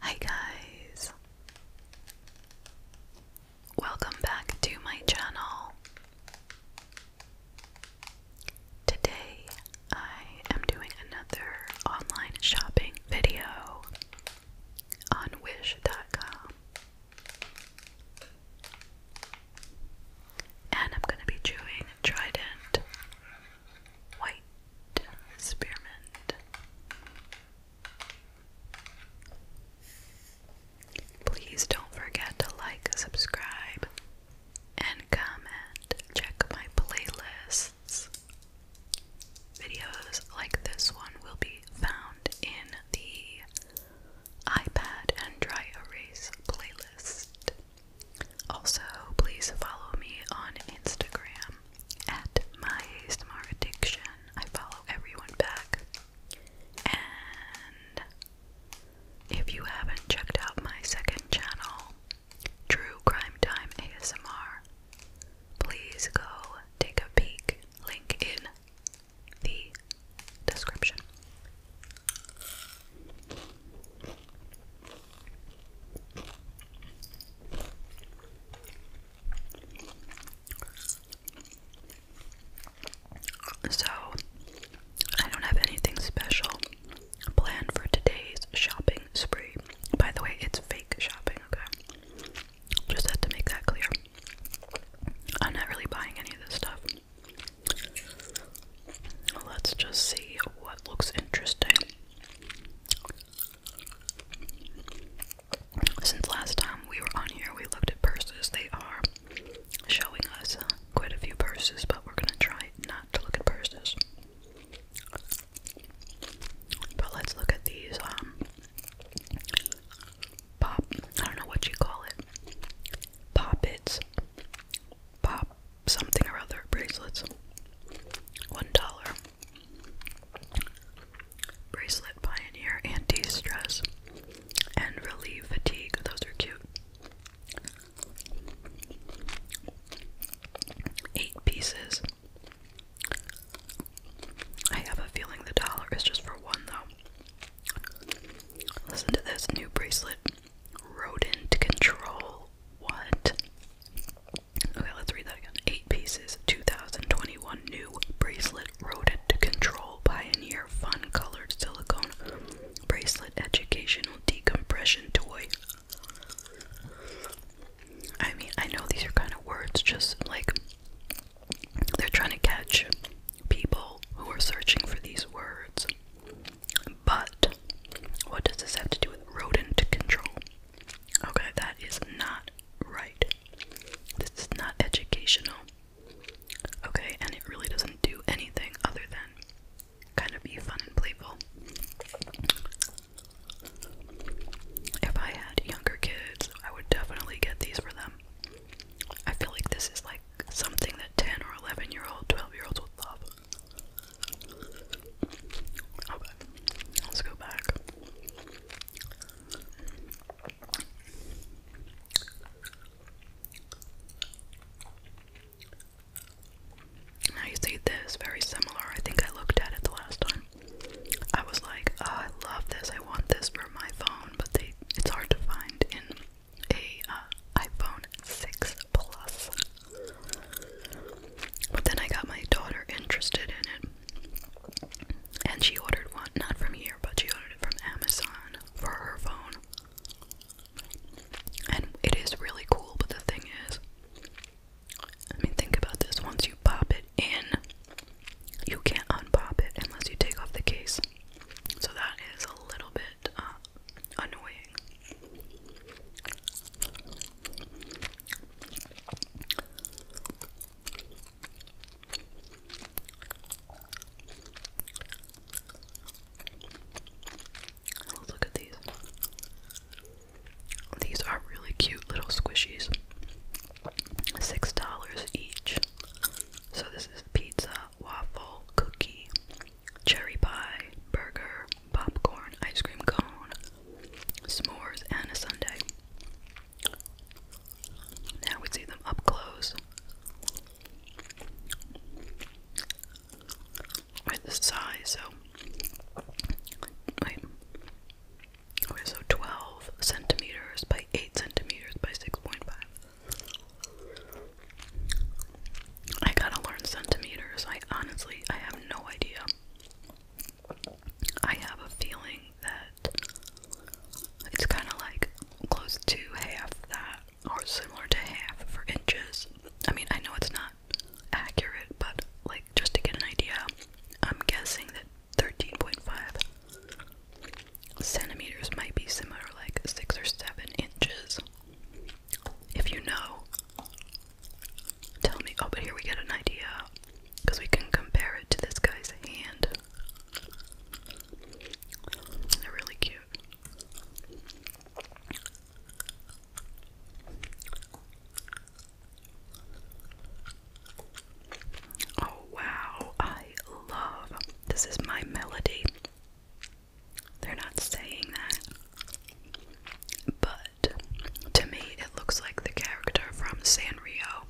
Hi guys. Welcome back to my channel. Today I am doing another online shopping video on wish.com. And I'm going to be chewing Trident White spearmint. Please don't forget to like, subscribe, and comment. Check my playlists. Videos like this one will be found in the iPad and dry erase playlist. Also, please follow me on Instagram at my ASMR addiction. I follow everyone back. And if you haven't checked out my second channel, True Crime Time ASMR, please go take a peek. Link in the description. So, I don't have anything special planned for today's shopping spree. By the way, it's fake shopping, okay? Just had to make that clear. I'm not really buying any of this stuff. Let's just see what looks interesting. Since last time we were on here, we looked at purses. They are showing us uh, quite a few purses, but we're gonna try not to look at purses. But let's look at these um pop I don't know what you call it. Poppets. Pop something or other bracelets. One dollar. Bracelet Pioneer Anti Stress and Relieve Fatigue. Those are cute. Eight pieces. I have a feeling the dollar is just for one though. Listen to this new bracelet. Rodent control. What? Okay, let's read that again. Eight pieces, 2021 new bracelet rodent control pioneer fun colored silicone bracelet educational decompression toy. I mean, I know these are kind of words, just like they're trying to catch people who are searching for these words. But what does this have to do with rodent control? Okay, that is not right. This is not educational. Okay, and it really doesn't do anything other than kind of be fun and playful. If I had younger kids, I would definitely get these for them. I feel like this is like something that 10 or 11 year old, 12 year olds would love. Okay, let's go back. Now you see this, very similar. I think I looked at it the last time. I was like, oh, I love this. I want this for my phone, but they it's hard to find in a uh, iPhone 6 Plus. But then I got my daughter interested in it. And she ordered one, not from here, but she ordered it from Amazon for her phone. And it is really cool, but the thing is, I mean, think about this once you pop it in, you can't unpop it unless you take off the case. So that is a little bit uh, annoying look at these. These are really cute little squishies. $6 each. So this is pizza, waffle, cookie, cherry pie, burger, popcorn, ice cream cone, s'mores, and a sundae. Now we see them up close. Right the size, so wait. so twelve centimeters by eight centimeters by six point five. I gotta learn centimeters. I honestly, I have no idea. I have a feeling that it's kind of like close to half that, or similar to half for inches. I mean, I know it's not accurate, but like just to get an idea, I'm guessing that 13.5 centimeters might be similar, like six or seven inches. If you know, Tell me. Oh, but here we get an idea because we can compare it to this guy's hand. They're really cute. Oh wow, I love this is my melody. They're not saying that. But to me, it looks like the character from Sanrio,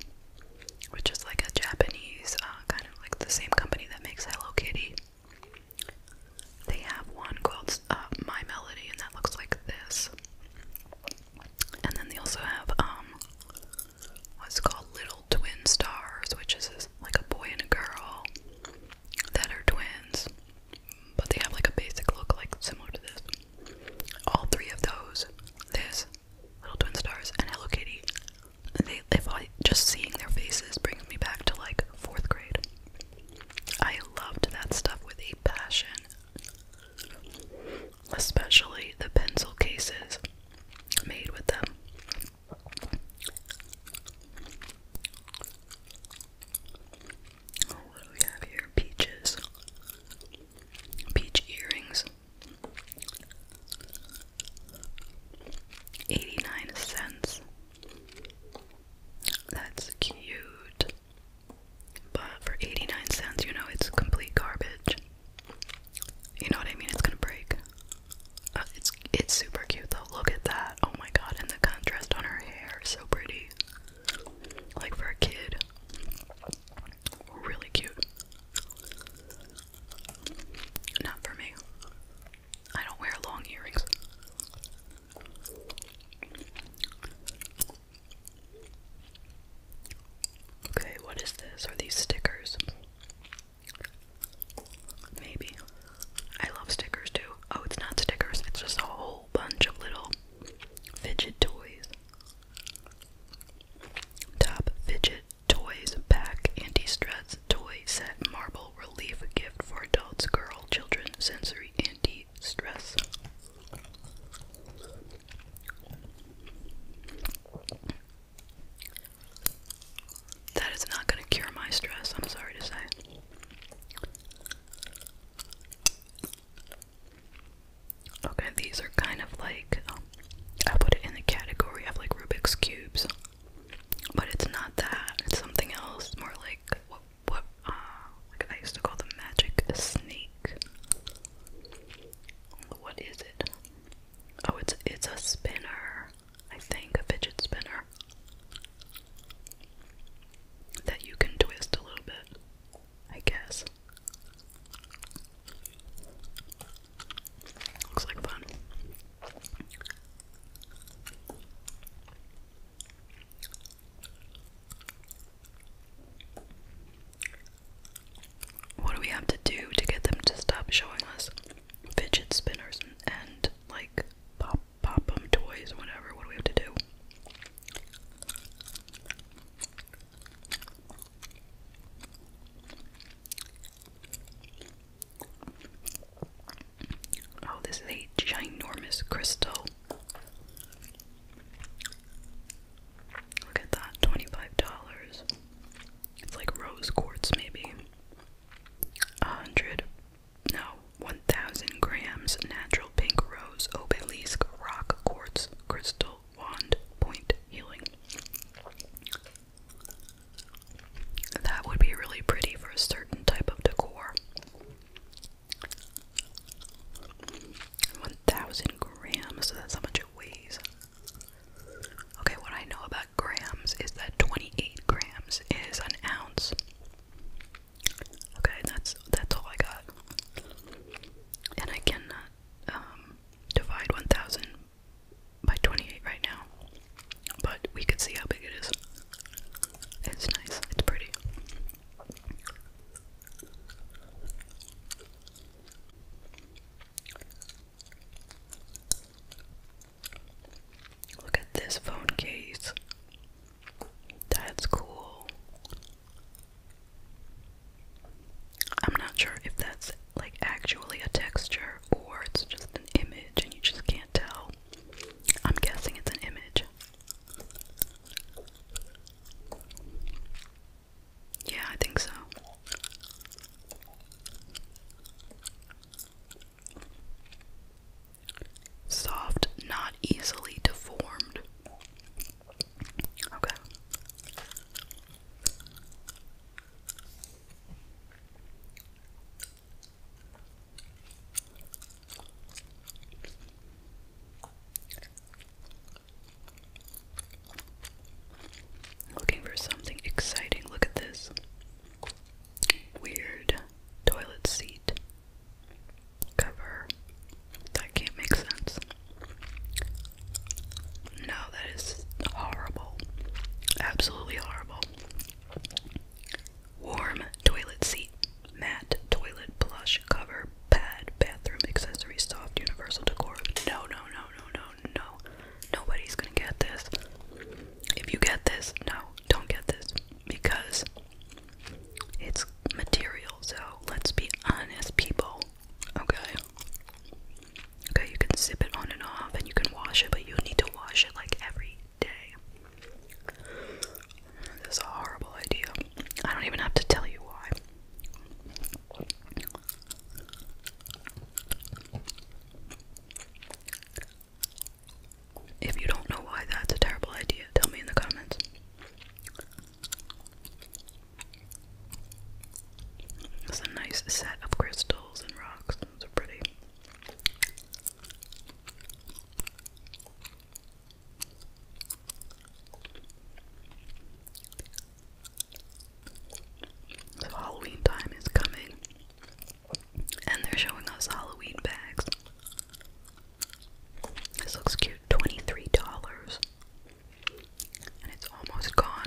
which is like a Japanese, uh, kind of like the same company that makes Hello Kitty. They have one called uh, My Melody, and that looks like this. And then they also have um, what's called Little Twin Stars, which is like a boy and a girl that are twins but they have like a basic look like similar to this. All three of those, this, Little Twin Stars, and Hello Kitty, they if I just seeing their faces brings me back to like fourth grade. I loved that stuff with a passion. Especially the pencil cases made with them what do we have here? Peaches. Peach earrings. 89 cents. That's cute. But for 89 cents, you know, it's complete garbage. You know what I mean? It's gonna break. Uh, it's it's super cute though. Look at that. Oh my god, and the contrast on her hair. So pretty. Like for a kid. Really cute. Not for me. I don't wear long earrings. Okay, what is this? Are these stickers? Maybe. I love stickers too. Oh, it's not stickers, it's just a whole bunch of little fidget toys. Top fidget toys pack anti-stress toy set marble relief gift for adults, girl, children, sensory anti-stress. That is not going to cure my stress, I'm sorry to say. Okay, these are kind of like um, I put it in the category of like Rubik's cubes, but it's not that. It's something else, more like what what uh, like I used to call the magic snake. What is it? Oh, it's it's a spinner. I think a fidget spinner that you can twist a little bit, I guess. Looks like fun. What do we have to do to get them to stop showing us fidget spinners and, and like pop pop them toys, whatever. What do we have to do? Oh, this is a ginormous crystal. Look at that, $25. It's like rose quartz, maybe. A hundred no, 1000 grams natural pink rose obelisk rock quartz crystal wand point healing. That would be really pretty for a certain type of decor. 1000 grams, so that's how much it weighs. Okay, what I know about grams is that 28 grams is an ounce. Okay, that's that's all I got. And I cannot um, divide 1,000 by 28 right now, but we can see how big it is. It's nice. It's pretty. Look at this phone case. That's cool. I'm not sure if that's like actually a texture or it's just an image and you just can't tell. I'm guessing it's an image. Yeah, I think so. Soft, not easily deformed. Okay. Looking for something exciting. Look at this weird toilet seat cover. That can't make sense. No, that is horrible. Absolutely horrible. Warm toilet seat, matte toilet plush cover, pad, bathroom accessory, soft universal decor. No, no, no, no, no, no. Nobody's gonna get this. If you get this, no, don't get this because it's material. So let's be honest, people. Okay. Okay, you can sip it on and off, and you can wash it, but you need to wash it like every day. This is a horrible idea. I don't even have to tell you why. If you don't know why that's a terrible idea, tell me in the comments. It's a nice set of crystals and rocks. Those pretty. Halloween time is coming. And they're showing us Halloween bags. This looks cute. $23. And it's almost gone.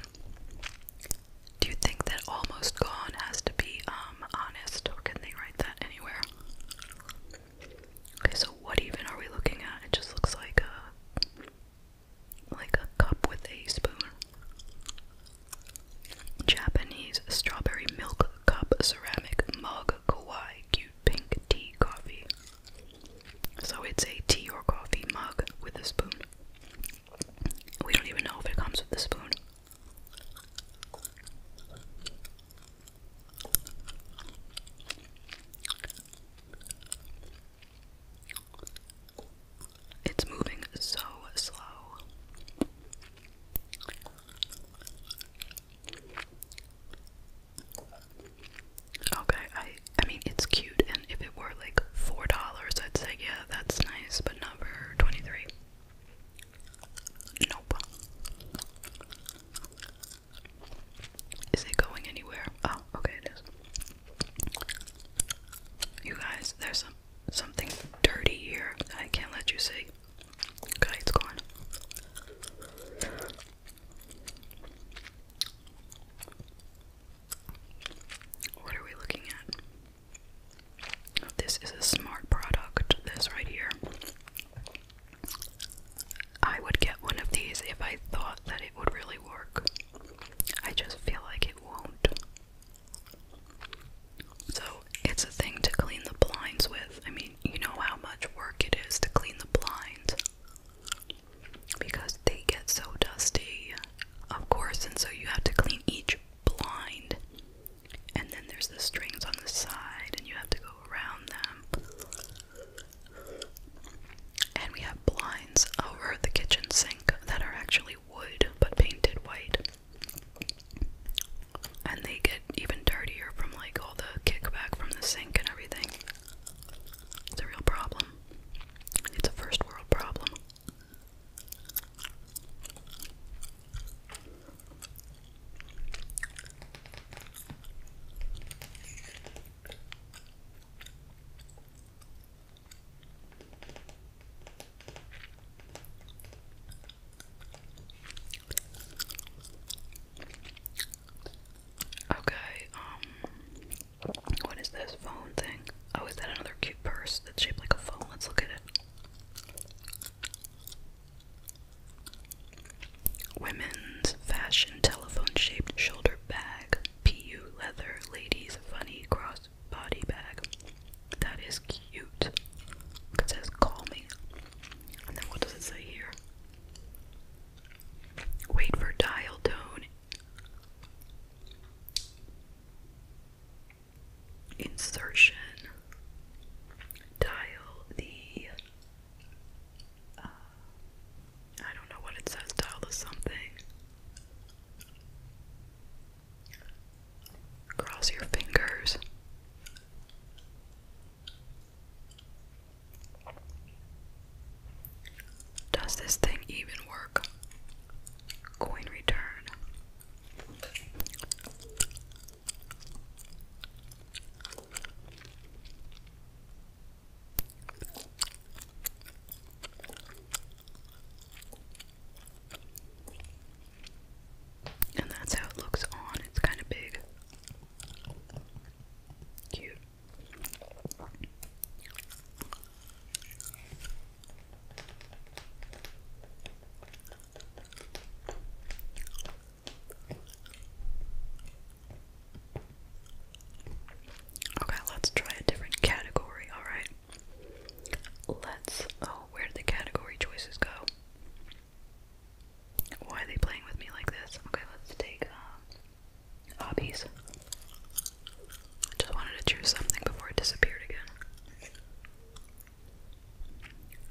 Do you think that almost gone has to be um honest or can they write that anywhere? Okay, so what even are we looking at? It just looks like a like a cup with a spoon. Japanese strawberry milk cup ceramic mug kawaii cute pink tea coffee. So it's a tea or coffee mug with a spoon. We don't even know if it comes with a spoon. It's moving so slow. Okay, I I mean it's cute and if it were like four dollars I'd say yeah that's nice, but not twenty-three. Nope. Is it going anywhere? Oh, okay it is. You guys, there's some something dirty here I can't let you see. What are we looking at? This is a smart product, this right here. I would get one of these if I thought that it would really work. I just feel like it won't. So it's a thing to clean the blinds with. I mean, you know how much work it is to clean the blinds because they get so dusty, of course, and so you have to clean each blind. And then there's the strings on the side, and you have to go around them. And we have blinds over the kitchen sink that are actually wood but painted white. And they get even dirtier from like all the kickback from the sink and everything. It's a real problem. It's a first world problem. Okay, um, what is this phone thing? Oh, is that another cute purse that's shaped like a phone? Let's look at it. Women's fashion telephone shaped shoulder bag, PU leather, ladies funny cross body bag. That is cute. It says call me. And then what does it say here? Wait for dial tone. Insertion. Dial the. Uh, I don't know what it says. Dial the something. Cross your fingers. Does this thing even work? Coin return. And that's how it looks on. It's kind of big. Cute. Okay, let's try a different category, alright? Let's. Oh, where did the category choices go? Why are they playing with me like this? Okay, let's take um, hobbies. I just wanted to choose something before it disappeared again.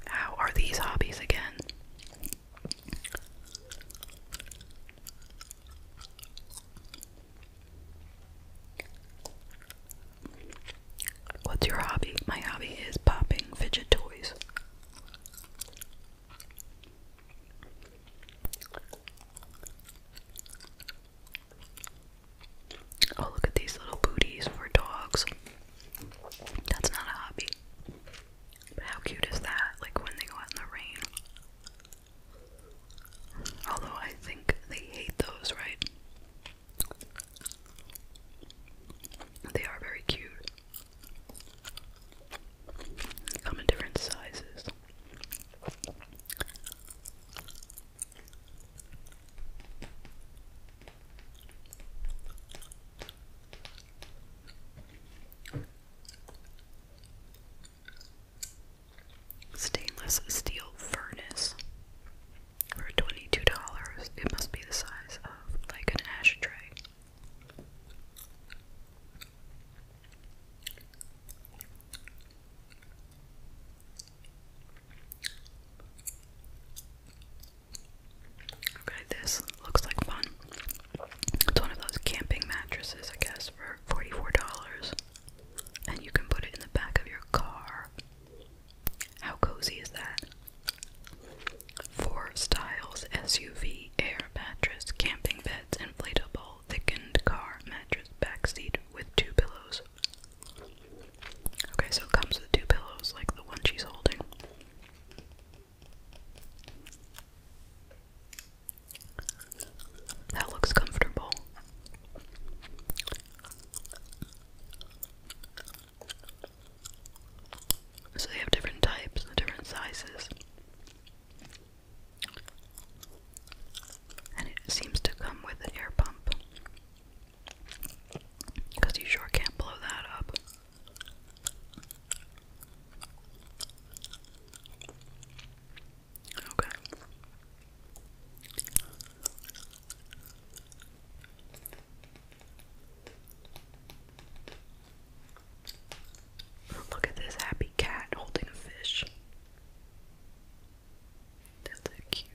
How are these hobbies again? What's your hobby? My hobby is popping fidget toys. Oh, look at these little booties for dogs. That's not a hobby. how cute is that? Like when they go out in the rain. Although I think they hate those, right? They are very cute. Come in different sizes. Stainless steel furnace for $22. It must be the size of like an ashtray. Okay, this looks like fun. It's one of those camping mattresses, I guess, for $44. And you can put it in the back of your car. How cozy is that? Four styles SUV, air mattress, camping beds, inflatable, thickened car mattress, backseat with two pillows. Okay, so it comes with two pillows like the one she's holding. That looks comfortable. So they have different types and different sizes. And it seems to come with an air pump. Because you sure can't blow that up. Okay. Look at this happy cat holding a fish. That's so cute.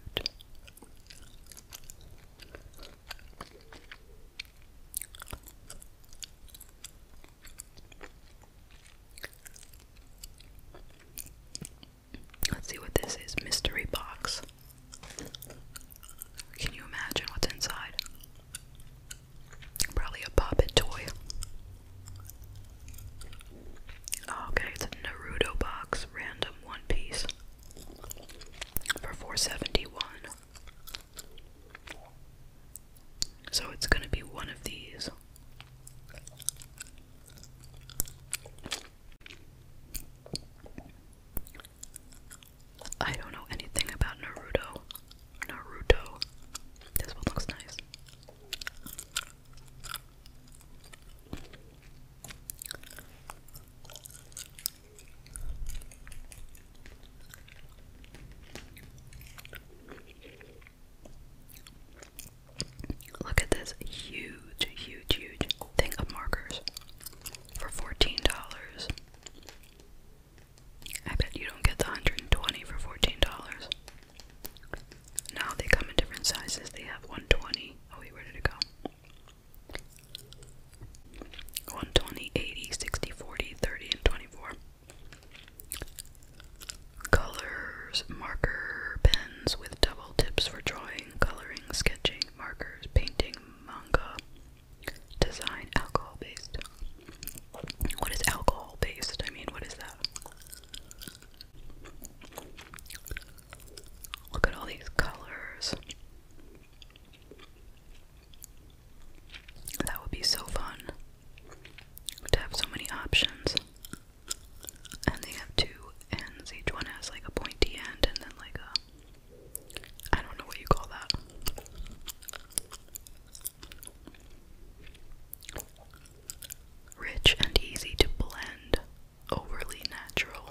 Let's see what this is. Mystery box. Can you imagine what's inside? Probably a puppet toy. Oh, okay, it's a Naruto box, random one piece for 471. So it's going to be one of these. I don't know anything about Naruto. Naruto. This one looks nice. Look at this huge, huge, huge thing of markers for $14. I bet you don't get the 120 for $14. Now they come in different sizes. They have 120. Oh wait, where did it go? 120, 80, 60, 40, 30, and 24. Colors, marker pens with double tips for drawing coloring, sketching, markers, painting, manga, design, alcohol based. What is alcohol based? I mean, what is that? Look at all these colors. That would be so fun to have so many options and they have two ends. Each one has like a pointy end and then like a I don't know what you call that. Rich and easy to blend, overly natural.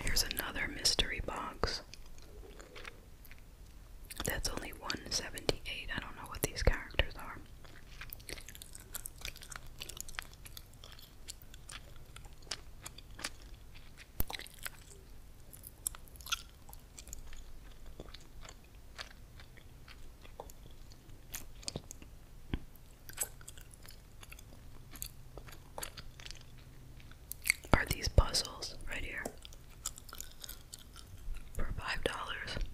Here's another mystery box. That's only 178. I don't know what these characters are. Are these puzzles right here for five dollars?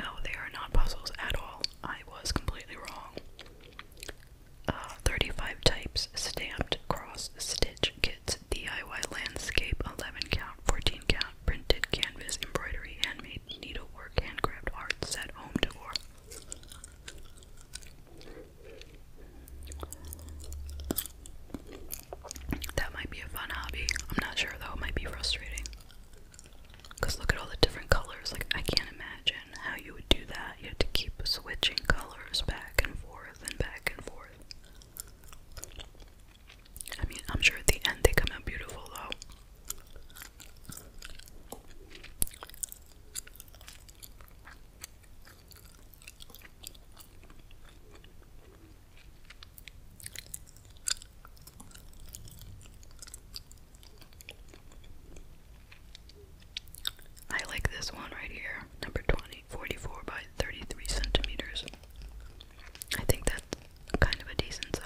No, they are not puzzles at all. I was completely wrong. Uh, 35 types stamped cross stitch kits DIY landscape 11 count 14 count printed canvas embroidery handmade needlework, handcraft art set home decor. That might be a fun hobby. I'm not sure though, it might be frustrating. Because look at all the different colors. Like, I can't imagine how you would do that. You have to keep switching colors back and forth and back and forth. I mean, I'm sure at the end they come out beautiful though. I like this one right here, number 20, by 33 centimeters. I think that kind of a decent size.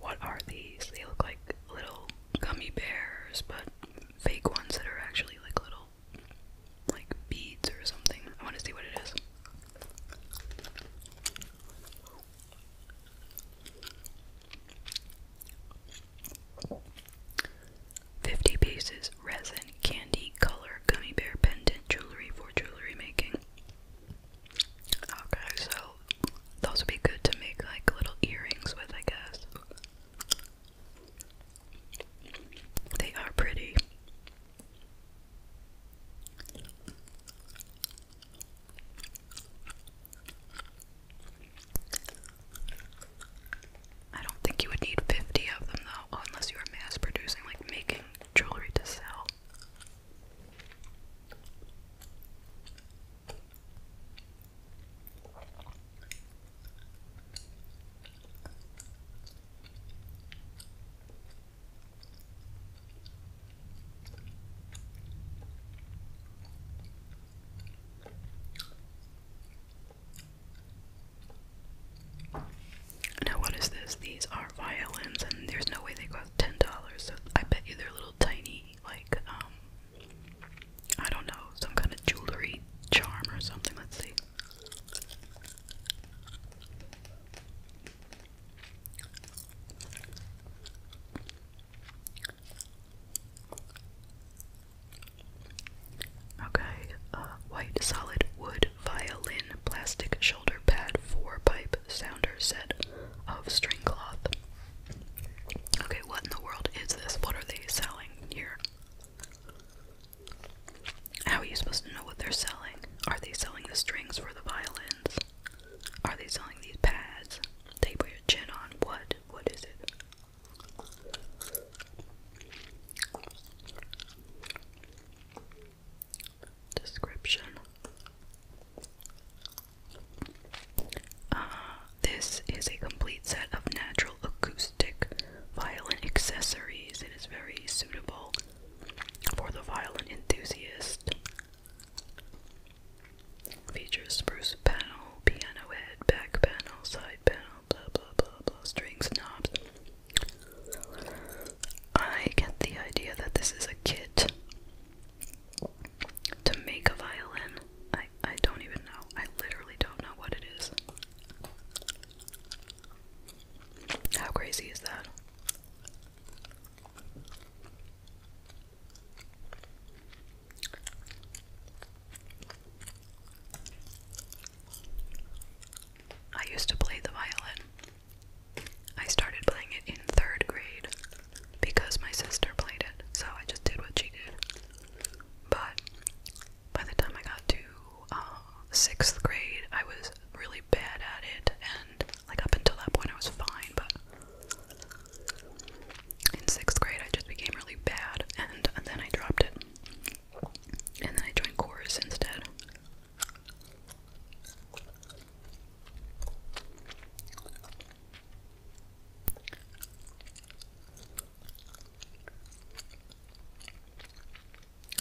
What are these? They look like little gummy bears, but fake ones that are actually like little like beads or something. I want to see what it is. Fifty pieces resin candy color gummy bear pendant jewelry for jewelry making. Okay, so those would be good to make like little earrings with, I guess. They are pretty. I don't think you would need 50 of them though, unless you were mass producing, like making jewelry to sell. Now, what is this? These are violins, and there's no way they go ten dollars. So I bet you they're little tiny, like um, I don't know, some kind of jewelry charm or something. Let's see. Okay, uh, white solid wood violin plastic shoulder pad for pipe sounder said, of string cloth. Okay, what in the world is this? What are they selling here? How are you supposed to know what they're selling? Are they selling the strings for the violins? Are they selling these pads? They put your chin on. What? What is it? description. Uh, this is a complete set of natural acoustic violin accessories. It is very suitable for the violin enthusiast. Features spruce panel, piano head, back panel, side panel, blah blah blah blah, strings, knobs. I get the idea that this is a kit to make a violin. I I don't even know. I literally don't know what it is. How crazy is that? I used to play the violin. I started playing it in third grade because my sister played it, so I just did what she did. But by the time I got to uh, sixth grade, I was really bad at it, and like up until that point, I was fine, but in sixth grade, I just became really bad, and then I dropped it. And then I joined chorus instead.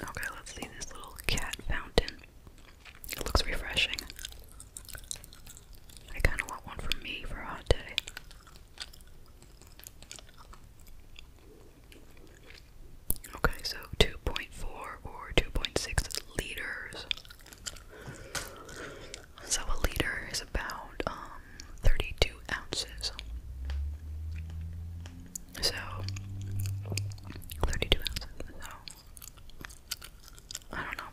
Okay, let's see this little cat fountain. It looks refreshing. I kind of want one for me for a hot day. Okay, so 2.4 or 2.6 liters. So a liter is about um 32 ounces. So 32 ounces. So I don't know.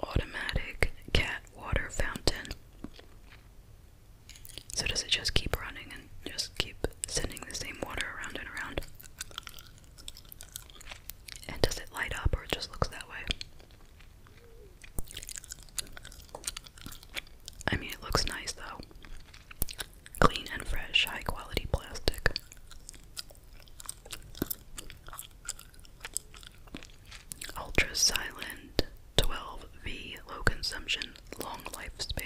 Automatic cat water fountain. So does it just keep running and just keep sending the same water around and around? And does it light up or just looks that way? I mean, it looks nice though. Clean and fresh, high quality plastic. Ultra silent 12V low consumption, long lifespan.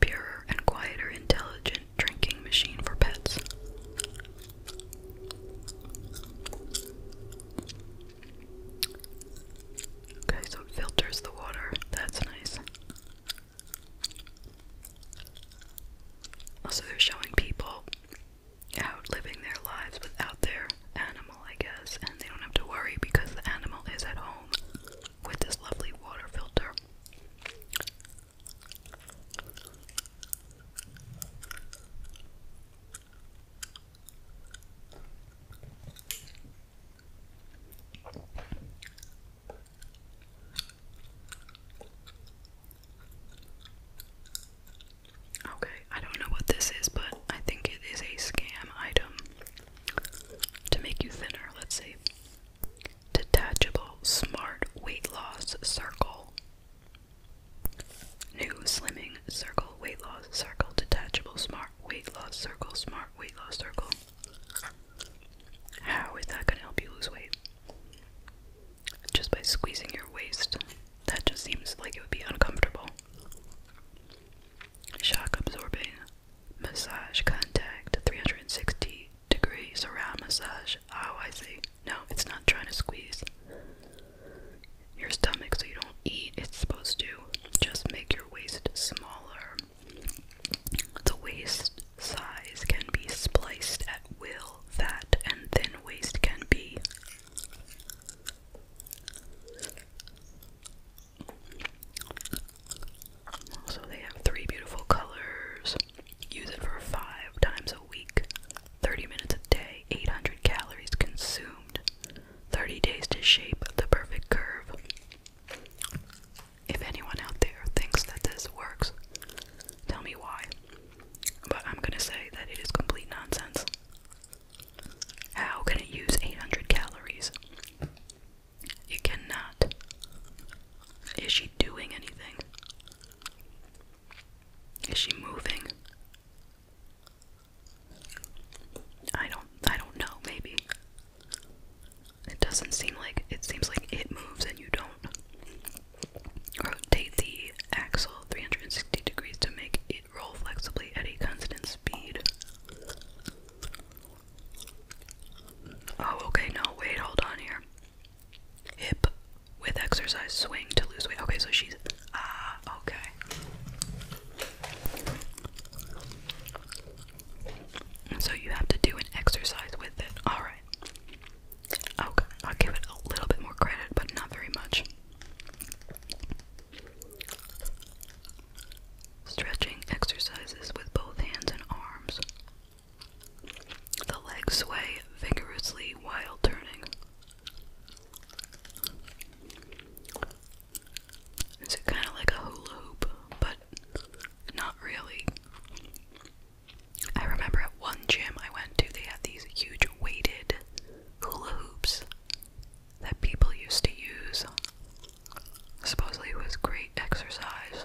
Purer and quieter intelligent drinking machine for pets. Okay, so it filters the water. That's nice. Also, they're showing people out living their lives without their animal, I guess, and they don't have to worry because the animal is at home with this lovely water filter. Okay, I don't know what this is, but I think it is a scam item to make you thinner. Let's see. Detachable smart weight loss circle. New slimming circle, weight loss circle, detachable smart weight loss circle, smart weight loss circle. How is that going to help you lose weight? just by squeezing your waist. That just seems like it would be uncomfortable. Shock absorbing massage contact 360 degrees around massage. Oh, I see. No, it's not trying to squeeze your stomach so you don't eat. It's supposed to just make your waist smaller. The waist size can be spliced at will feel fat and thin waist can be. So they have three beautiful colors. Use it for five times a week, 30 minutes a day, 800 calories consumed, 30 days to shape the perfect curve. If anyone out there thinks that this works, tell me why. But I'm gonna say that it is complete nonsense. How can it use 800 calories? It cannot. Is she doing anything? Is she moving? I don't I don't know, maybe. It doesn't seem like it seems like it moves and you don't. Rotate the axle 360 degrees to make it roll flexibly at a constant speed. Oh, okay, no, wait, hold on here. Hip with exercise swing to lose weight. Okay, so she's. Ah, okay. So you have to do an exercise with it. Alright. Okay, I'll give it a little bit more credit, but not very much. Stretching exercises with both hands and arms. The legs sway vigorously while turning. Is it kind of like a hula hoop, but not really? I remember at one gym I went to, they had these huge weighted hula hoops that people used to use. Supposedly it was great exercise.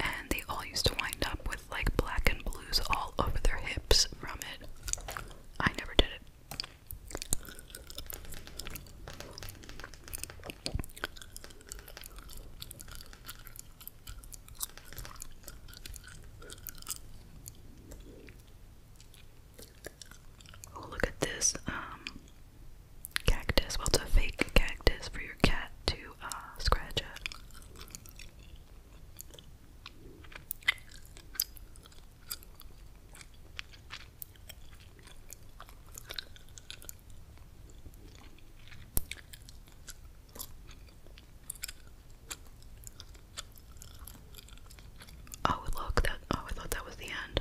And they all used to wind up with like black and blues all over their hips from it. I never did it. Oh, look at this um, cactus. Well, it's a fake cactus for your cat to uh, scratch at. Oh look that oh I thought that was the end.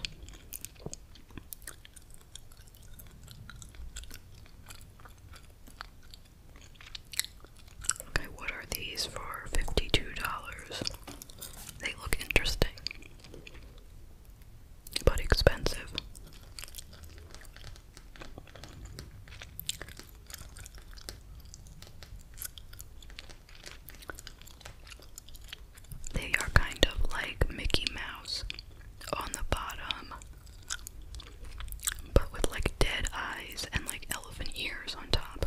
Okay, what are these for $52? They look interesting, but expensive. They are kind of like Mickey Mouse on the bottom, but with like dead eyes and like elephant ears on top.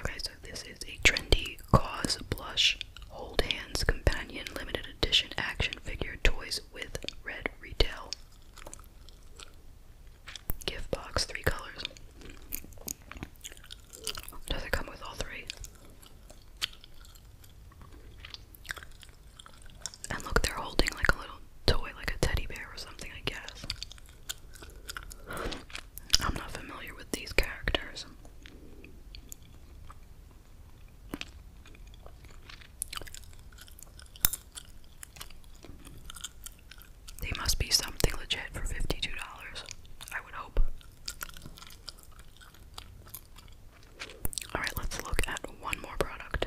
Okay, so this is a trendy cause blush hold hands companion limited edition action figure toys with red retail. Gift box, three colors. Does it come with all three? And look, they're holding like a little toy, like a teddy bear or something, I guess. I'm not familiar with these characters. They must be something legit for $52, I would hope. Alright, let's look at one more product.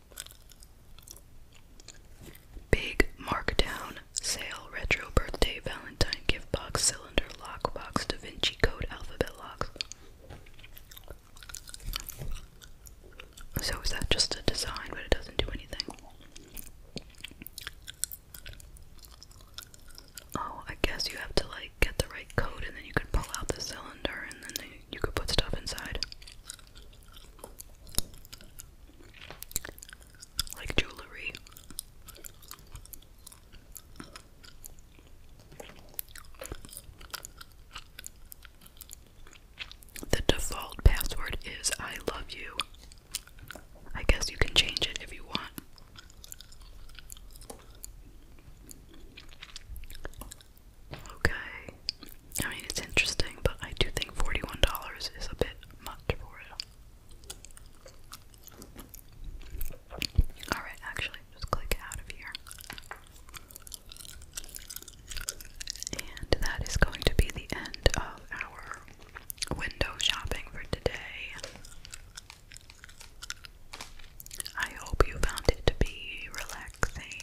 Big Markdown Sale Retro Birthday Valentine Gift Box Cylinder Lock Box Da Vinci Code Alphabet Locks. So is that just a design, but it doesn't do anything? Oh, I guess you have to like get the right code, and then you could pull out the cylinder, and then you could put stuff inside like jewelry. The default password is I love you. I guess you can change it if you want. Okay, I mean, it's interesting, but I do think $41 is a bit much for it. Alright, actually, just click out of here. And that is going to be the end of our window shopping for today. I hope you found it to be relaxing.